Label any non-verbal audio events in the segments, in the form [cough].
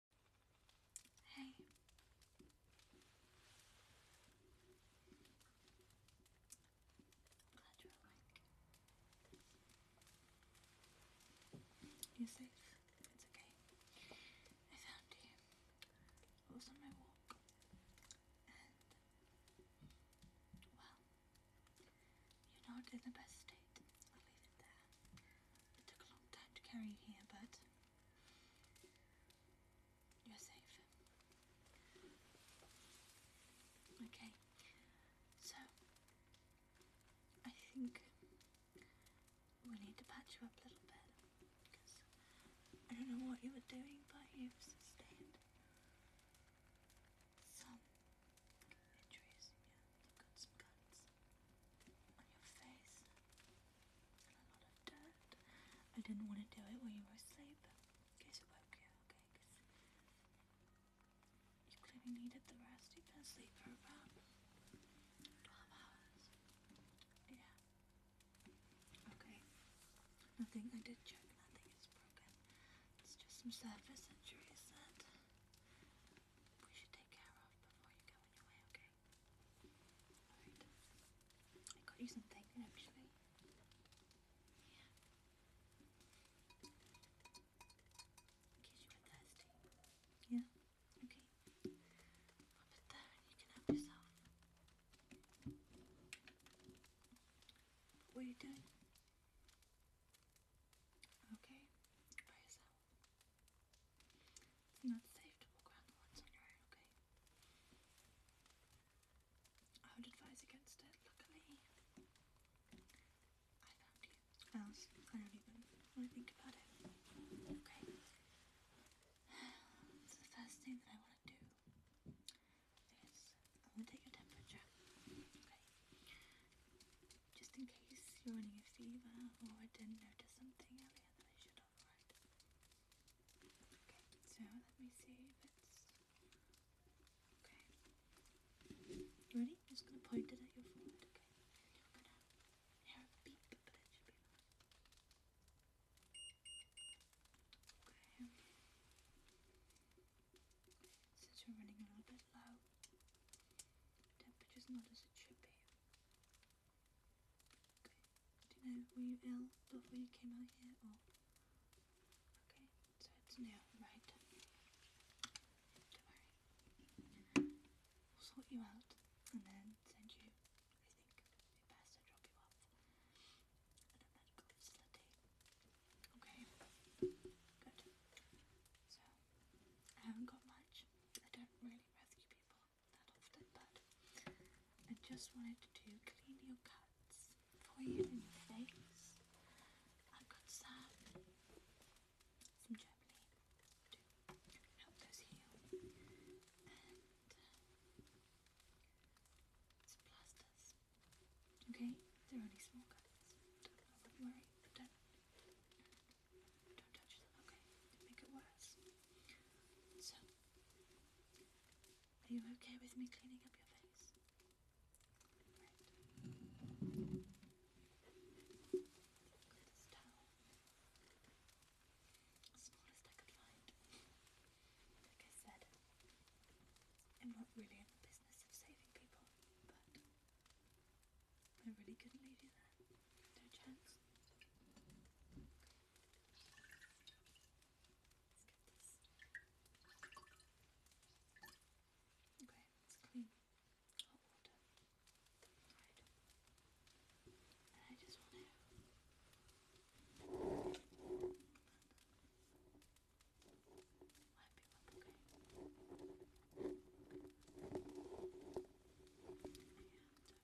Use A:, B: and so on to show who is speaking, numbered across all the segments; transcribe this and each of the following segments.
A: Hey. glad you're awake. You're safe. It's okay. I found you. I was on my walk. And well, you're not in the best state. I'll leave it there. It took a long time to carry you here, but you're safe. Okay, so I think we need to patch you up a little bit because I don't know what you were doing, but you sustained some injuries. Yeah, you've got some cuts on your face and a lot of dirt. I didn't want to do it while you were asleep in case it woke you, up, Because you clearly needed the rest. You've been asleep for about 12 hours. Yeah. Okay. Nothing, I did check. Nothing is broken. It's just some surface injuries that we should take care of before you go on your way, okay? I got you something actually. Yeah. Okay. put there and you can help yourself. what are you doing? Okay. It's not safe to walk around the woods on your own, okay? I would advise against it. Luckily, I found you. Else, I don't even want to think about it. Okay. [sighs] the first thing that I want to do is I want to take your temperature. Okay. Just in case you're running a fever or I didn't notice something area Okay, so let me see if it's okay. Ready? I'm just gonna point it at your forehead, okay? you're gonna hear a beep, but it should be fine. Okay. Since you're running a little bit low, temperature's not as it should be. Okay. Do you know, were you ill before you came out here Okay, so it's new, right? Don't worry. We'll sort you out and then send you, I think, it best to drop you off at a medical Okay, good. So, I haven't got much. I don't really rescue people that often, but I just wanted to clean your cuts for you in your face. I've got some, some germany to help those heal, and uh, some plasters. Okay, they're only small cuts. don't worry, don't don't touch them, okay? make it worse. So, are you okay with me cleaning up your face? smallest I could find. Like I said, I'm not really in the business of saving people, but I really couldn't leave you there. No chance. Okay, it's clean. Hot water. Right. And I just want to wipe you up, okay? Yeah,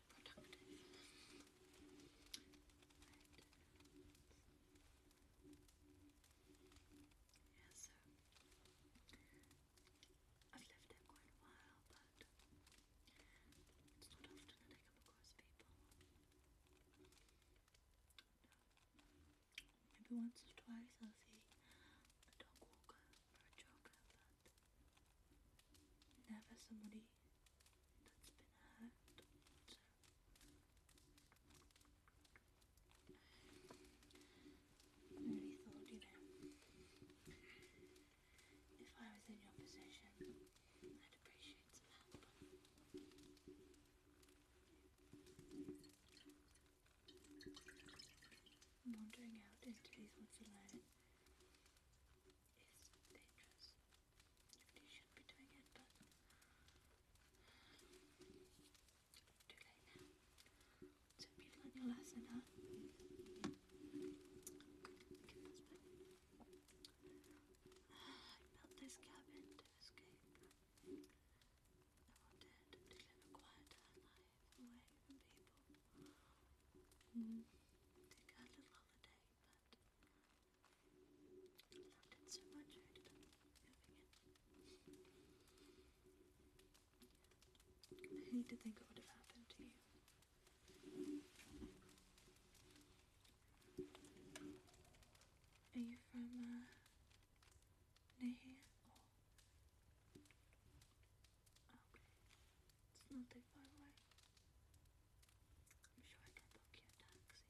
A: not productive. I've lived there quite a while, but it's not often that I come across people. Maybe once or twice I'll see a dog walker or a jogger, but never somebody that you if I was in your position, I'd appreciate some help. wandering out into these woods alone is dangerous. You shouldn't be doing it, but too late now. So you've learned your lesson, huh? I built this cabin to escape. I wanted to live a quieter life away from people. Take a little holiday. I loved it so much I hate to think of what would have happened to you. Are you from, uh, it's not too far away. I'm sure I can book you a taxi.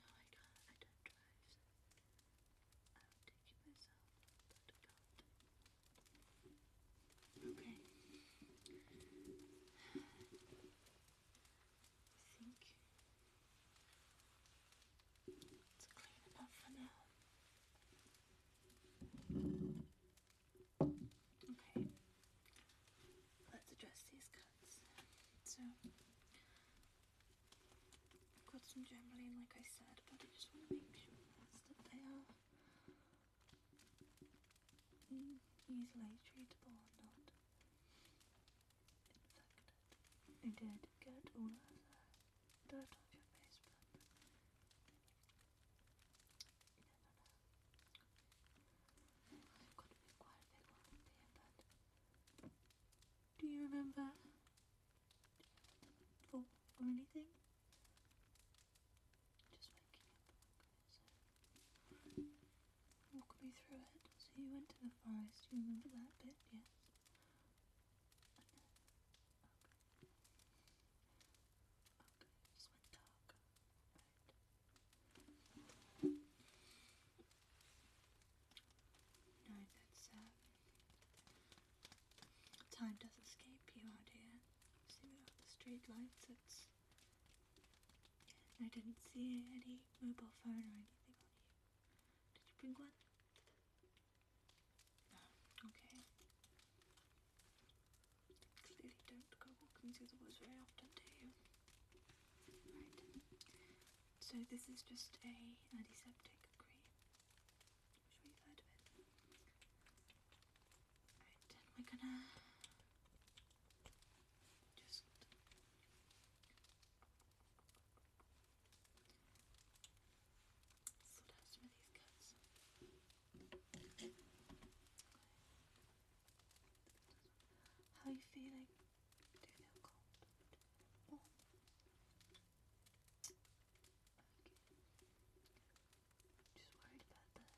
A: No, I can't. I don't drive, I'll take you myself, Okay. I think it's clean enough for now. Okay, let's address these cuts. So, I've got some jambling, like I said, but I just want to make sure that they are mm, easily treatable not infected. I did get all of the dirt off your face, but do you remember or, or anything? Just waking up. walk me through it. So you went to the forest. you remember that bit? Yes. Okay, just went dark. Right. No, that's um, time does escape you out here. See, we the street I didn't see any mobile phone or anything on you. Did you bring one? No. Okay. Clearly don't go walking through the woods very often, do you? So this is just a antiseptic cream. i you heard of it. Right, and we're gonna just how are you feeling? Do you feel cold? Just worried about the temperature. Check again before you go, okay? don't want to. Don't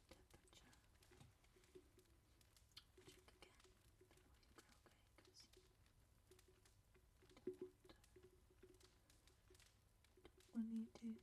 A: want you to fall ill.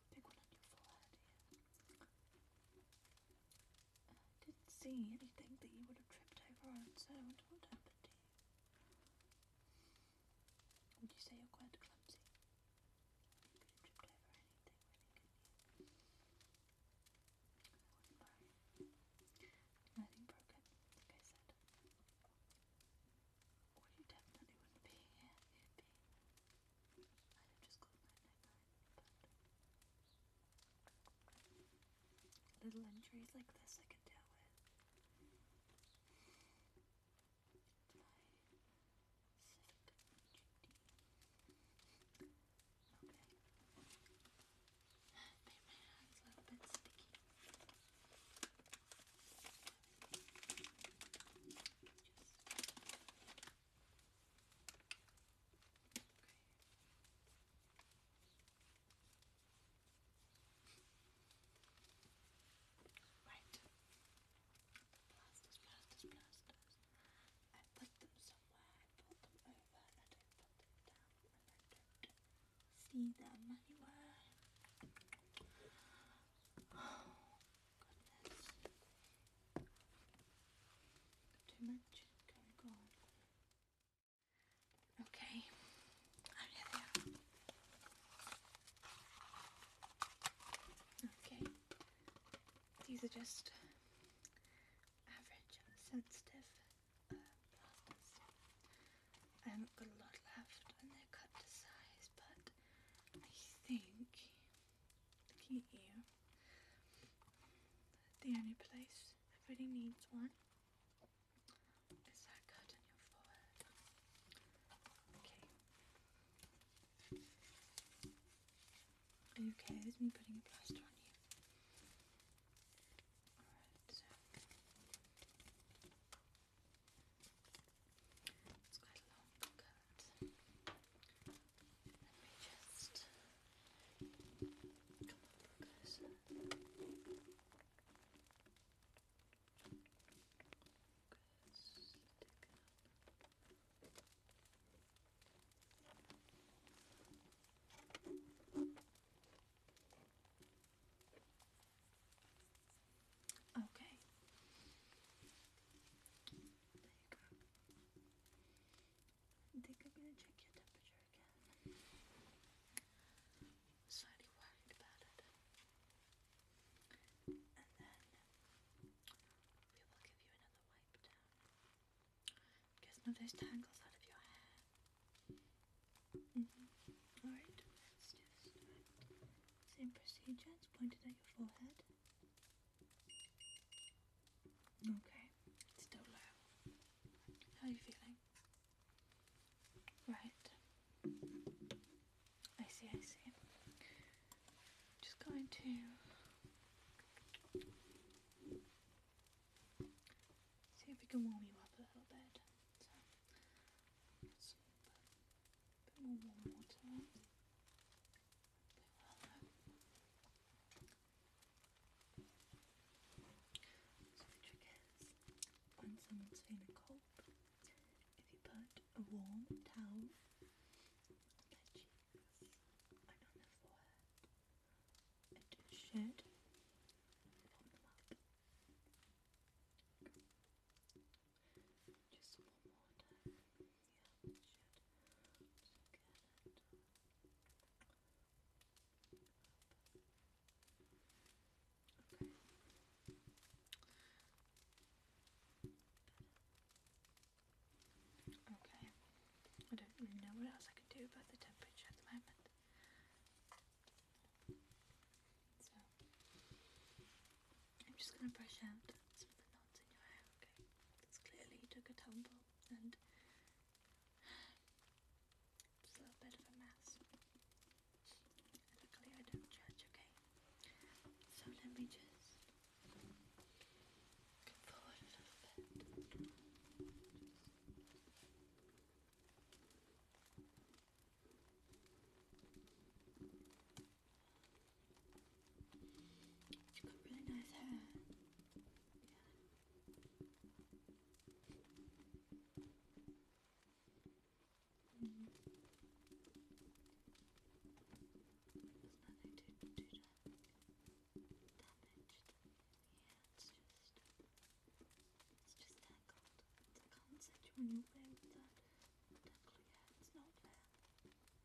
A: big one on your forehead, I didn't see anything that you would have tripped over on its own. What happened to you? Would you say you're quite clumsy? You could over anything, Nothing broken, like I said. Or you definitely wouldn't be here. would be. I'd have just got my neck out. But little injuries like this I can deal with. my hands a little bit sticky. Right. Blasters, blasters, blasters. I put them somewhere, I pulled them over, I don't put them down, I don't see them anywhere. Too much going on. Okay. Okay. These are just average sensitive uh, plasters. I haven't got a lot left and they're cut to size, but I think, looking you, the only place that really needs one is that cut Are you okay with me putting a plaster on you? Alright, so it's quite a long coat. Let me just come up closer. Close, stick Okay. I think I'm gonna check your temperature again. Slightly worried about it. And then we will give you another wipe down. Get some of those tangles out of your hair. Mm-hmm. Alright, Same procedure, it's pointed at your forehead. Okay, it's still low. How are you feeling? Right. I see, I see. Just going to see if we can warm you up a little bit a bit more warm the trick is, when someone's feeling cold, if you put a warm towel on their cheeks and on their forehead, it should warm them Okay. Okay. I don't really know what else I can do about the temperature at the moment. So I'm just gonna brush out it's clearly you took a tumble and it's a bit of a mess. luckily I don't judge, okay? So let me just come forward a little bit. She's got really nice hair. There's nothing to do to Yeah, it's just it's just tangled. I can't set you on your way with that. yeah, it's not fair.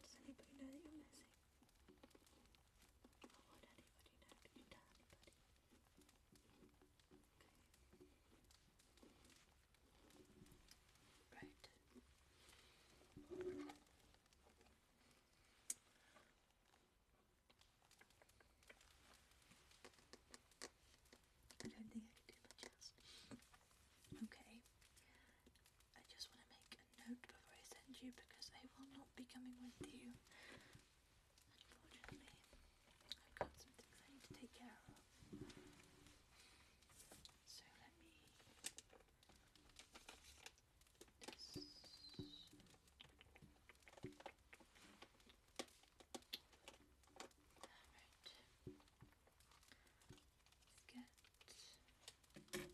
A: Does anybody know that you're missing? Or oh, would anybody know? Did you tell anybody? Right. I Okay. I just want to make a note before I send you because I will not be coming with you. Unfortunately, I've got some things I need to take care of. So let me get post note.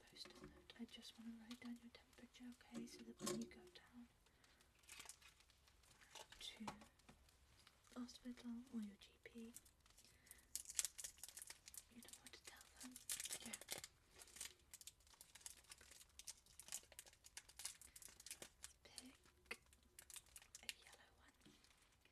A: I just want to write down your temperature, okay? So that when you go down to hospital or your GP, you know what to tell them. Yeah. Pick a yellow one.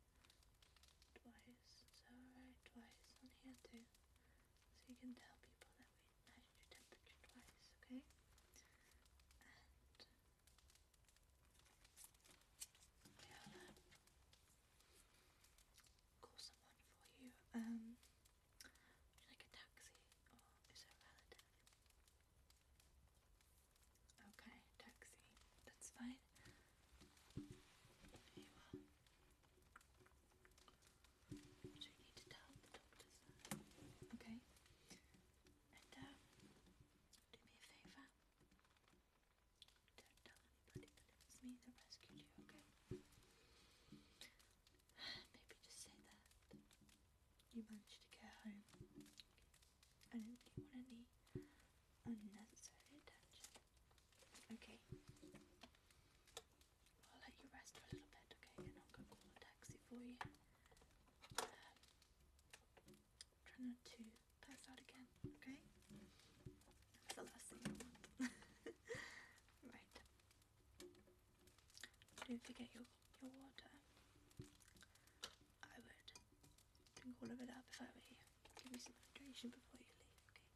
A: twice. So write twice on here too. So you can tell people that we measured your temperature twice, okay? And yeah, uh, call someone for you. Um, would you like a taxi or is a relative? Okay, taxi. That's fine side. you need to tell the doctor Okay. And um, do me a favour. Don't tell anybody that it was me that rescued you, okay? [sighs] Maybe just say that you managed to get home. I don't really want any unnecessary attention. Okay. I'll let you rest for a little bit, okay? And I'll go call a taxi for you. Um, try not to pass out again, okay? That's the last thing [laughs] right. Don't forget your, your water. I would drink all of it up if I give me some hydration before you leave, okay?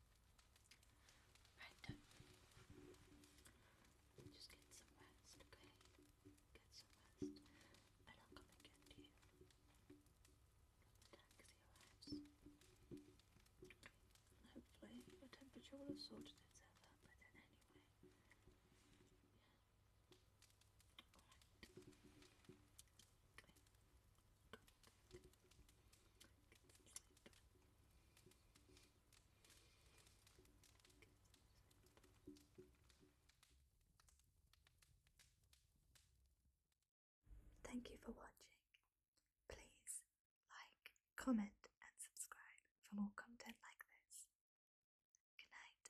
A: Right, done. Just get some rest, Get some rest, and I'll come and get you taxi arrives. hopefully your temperature will have sorted itself out by then anyway. Thank you for watching. Please like, comment, and subscribe for more content like this. Good night.